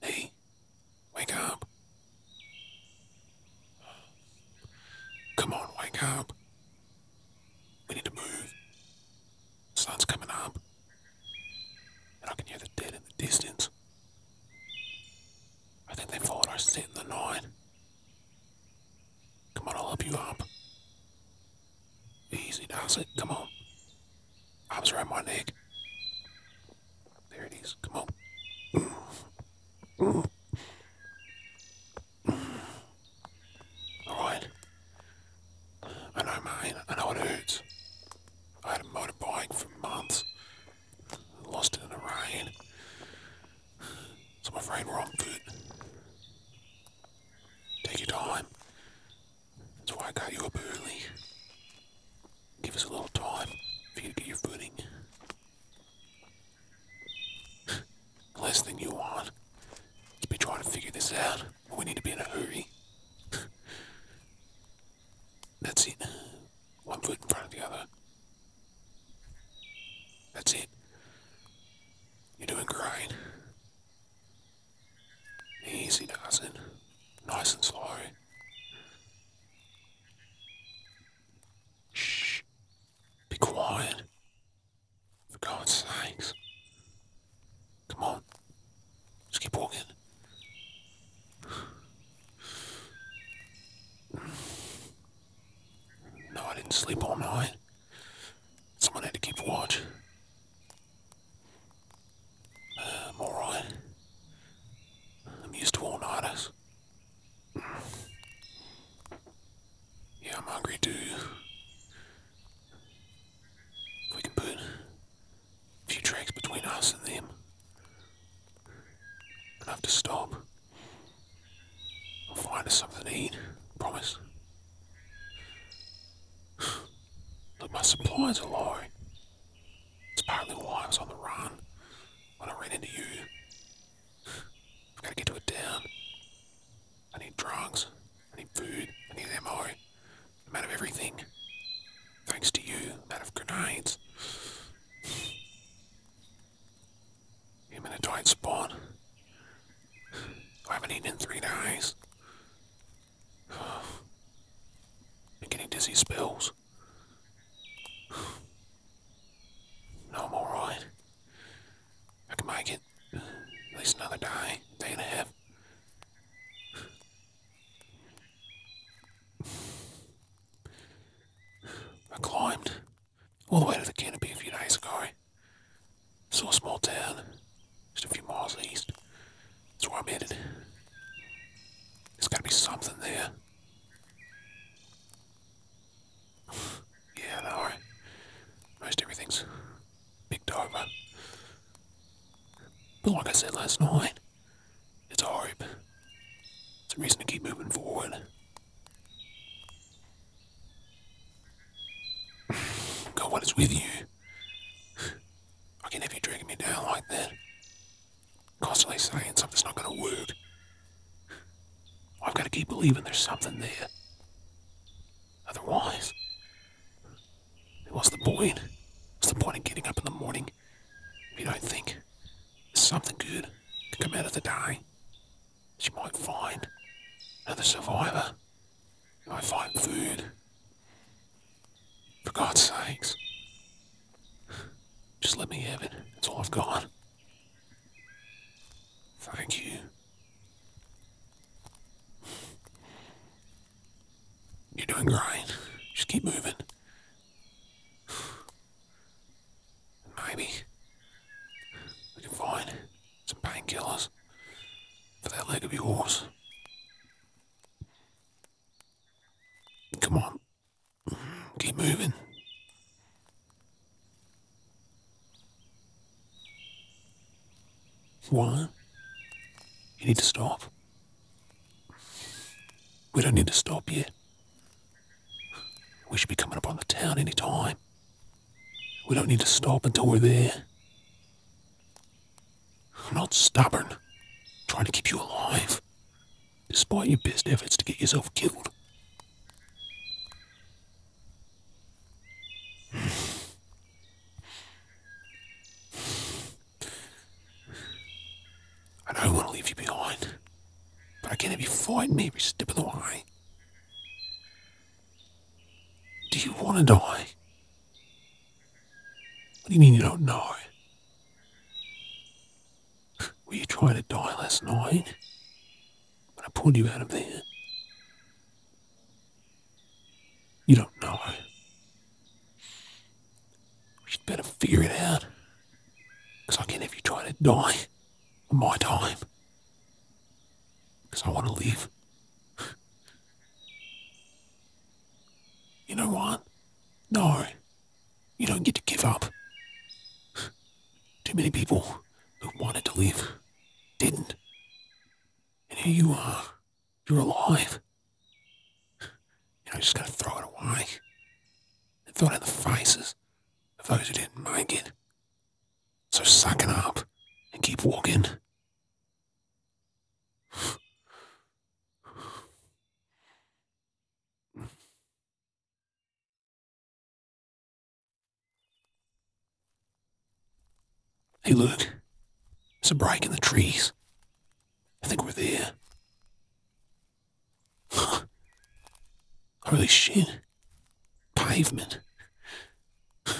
Hey, wake up. Come on, wake up. We need to move. sun's coming up. And I can hear the dead in the distance. I think they followed our scent in the night. Come on, I'll help you up. Easy, Dawson. Come on. I was around my neck. There it is. Come on. Alright. I know, man. I know it hurts. I had a motorbike for months. Lost it in the rain. So I'm afraid we're on foot. Take your time. That's why I got you up early. Give us a little time for you to get your footing. Less than you want is be trying to figure this out. We need to be in a hurry. That's it. One foot in front of the other. That's it. You're doing great. Easy, Dawson. Nice and slow. Shh. Be quiet. For God's sakes. Come on. Just keep walking. No, I didn't sleep all night. Someone had to keep watch. Uh, I'm alright. I'm used to all nighters. Yeah, I'm hungry too. If we can put a few tracks between us and them, enough to stop. I'll find us something to eat. Promise. Look, my supplies are low. It's partly why I was on the run when I ran into you. I've got to get to a town. I need drugs. I need food. I need ammo. I'm out of everything. Thanks to you, I'm out of grenades. I'm Humanoid spawn. I haven't eaten in three days. I'm getting dizzy spells. No, I'm alright. I can make it. At least another day, day and a half. I climbed all the way to the canopy a few days ago. Eh? Saw a small town, just a few miles east. That's where I'm headed. There's gotta be something there. yeah, I know. Eh? Most everything's picked over. But like I said last night, it's hope. It's a reason to keep moving forward. God, what is with you? I can have you dragging me down like that. Constantly saying something's not going to work. I've got to keep believing there's something there. Otherwise, what's the point? What's the point of getting up in the morning if you don't think something good to come out of the day? She might find another survivor. She might find food. For God's sakes. Just let me have it. That's all I've got. Thank you. You're doing great. Just keep moving. Maybe we can find some painkillers for that leg of yours. Come on, keep moving. Why? You need to stop. We don't need to stop yet. We should be coming up on the town any time. We don't need to stop until we're there. I'm not stubborn. trying to keep you alive. Despite your best efforts to get yourself killed. I don't want to leave you behind, but I can't have you fighting me every step of the way. Do you want to die? What do you mean you don't know? Were you trying to die last night But I pulled you out of there? You don't know. You'd better figure it out. Because I can not have you trying to die on my time. Because I want to live. you know what? No. You don't get to give up. Too many people who wanted to live didn't. And here you are. You're alive. I'm just going to throw it away and fell in the faces of those who didn't make it. So suck it up and keep walking. Hey, look. There's a break in the trees. I think we're there. Holy shit. Pavement.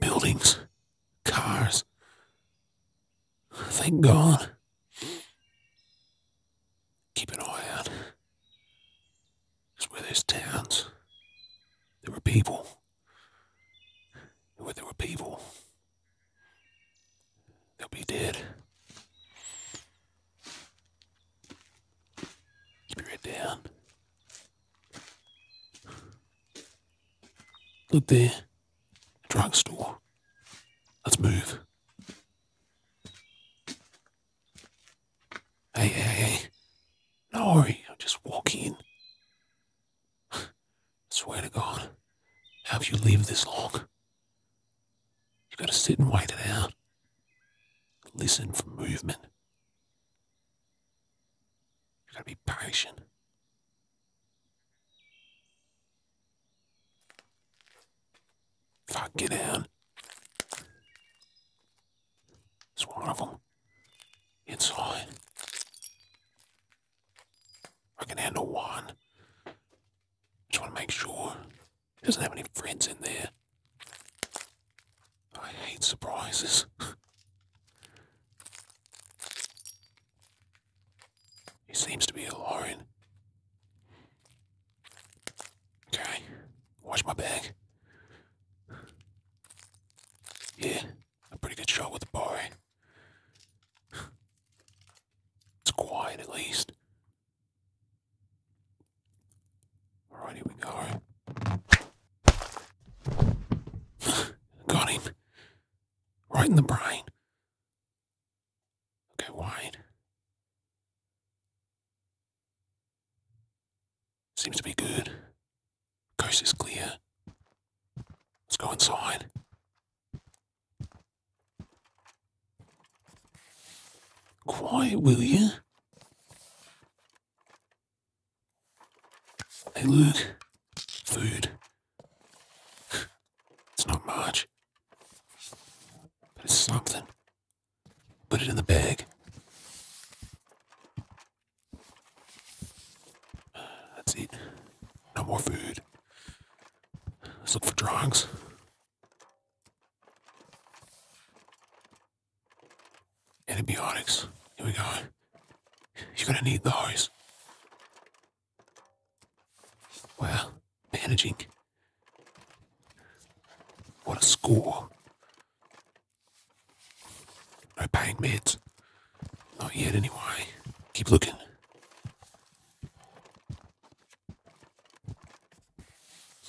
Buildings. Cars. Thank God. Keep an eye It's where there's towns. There were people. Where there were people, They'll be dead. Keep your head down. Look there. Drugstore. Let's move. Hey, hey, hey. No worry, i am just walking. in. I swear to God, have you lived this long? You gotta sit and wait it out. Listen for movement. You gotta be patient. Fuck, it out. It's one of them. Inside. I can handle one. Just want to make sure it doesn't have any friends in there. I hate surprises. he seems to be alone. Okay, watch my bag. Yeah a pretty good shot with the boy. It's quiet at least. Alright, here we go. Got him. Right in the brain. Okay, wide. Seems to be good. Coast is clear. Let's go inside. Quiet, will you? Hey, Luke. Food. it's not much. But it's something. Put it in the bag. That's it. No more food. Let's look for drugs, Antibiotics. Here we go. You're gonna need those. Well, managing. What a score. No paying meds. Not yet, anyway. Keep looking.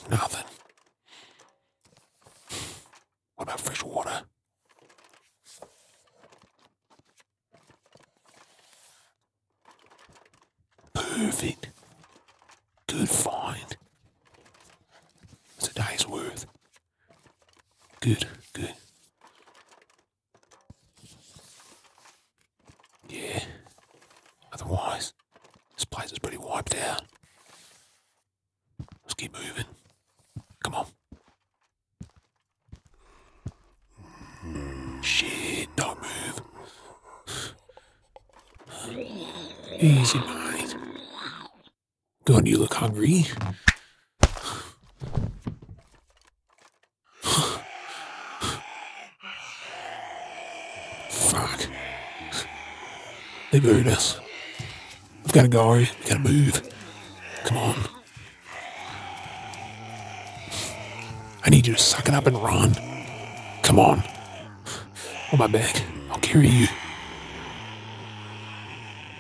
Nothing. What about fresh water? Perfect. Good find. It's a day's worth. Good, good. Yeah. Otherwise, this place is pretty wiped out. Let's keep moving. Come on. Mm. Shit, don't move. Easy, mate do you look hungry? Fuck. They buried us. We've gotta go, Ari. We gotta move. Come on. I need you to suck it up and run. Come on. On my back. I'll carry you.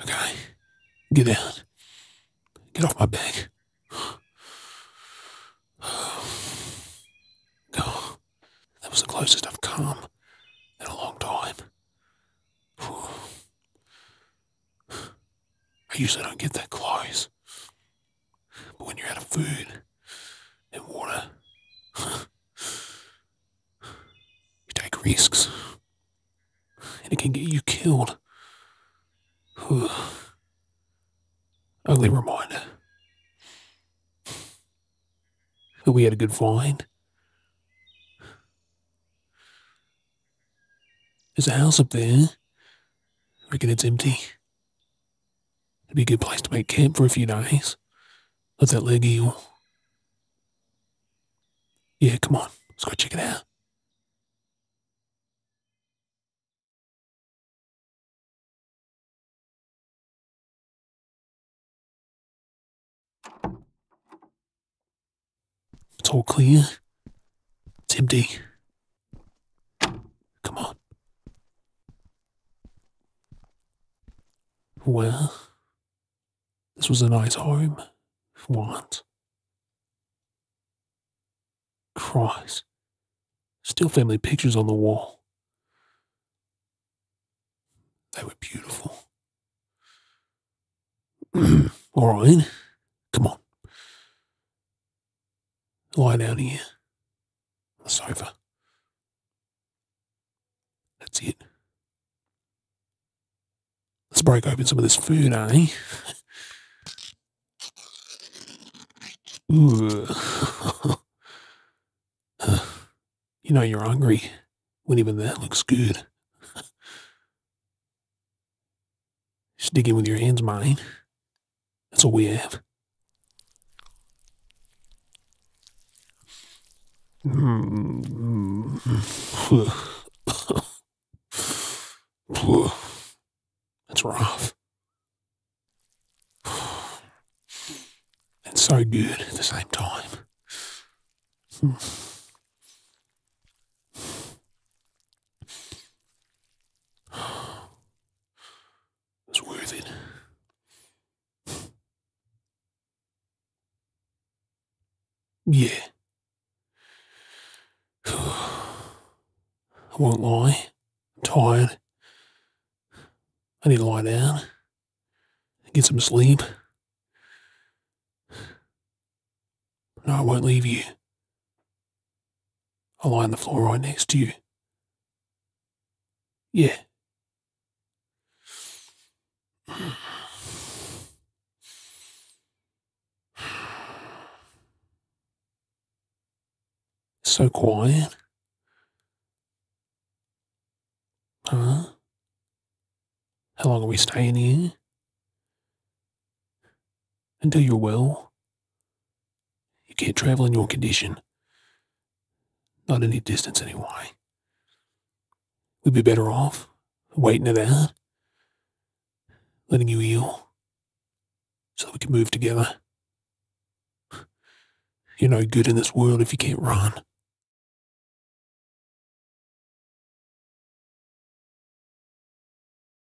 Okay. Get out. Get off my back. Go. That was the closest I've come in a long time. I usually don't get that close. But when you're out of food, and water. you take risks, and it can get you killed. Only reminder. That we had a good find. There's a house up there. I reckon it's empty. It'd be a good place to make camp for a few days. Let that leg heal. Yeah, come on. Let's go check it out. It's all clear. It's empty. Come on. Well, this was a nice home. What? Christ. Still family pictures on the wall. They were beautiful. All right, come on. Lie down here the sofa. That's it. Let's break open some of this food, eh? you know you're hungry when even that looks good. Just in with your hands, mate. That's all we have. Hmm. That's rough. And so good at the same time. It's worth it. Yeah. I won't lie. I'm tired. I need to lie down, get some sleep. No, I won't leave you i lie on the floor right next to you. Yeah. So quiet. Huh? How long are we staying here? Until you're well, You can't travel in your condition. Not any distance, anyway. We'd be better off waiting it out, letting you heal, so we can move together. You're no good in this world if you can't run.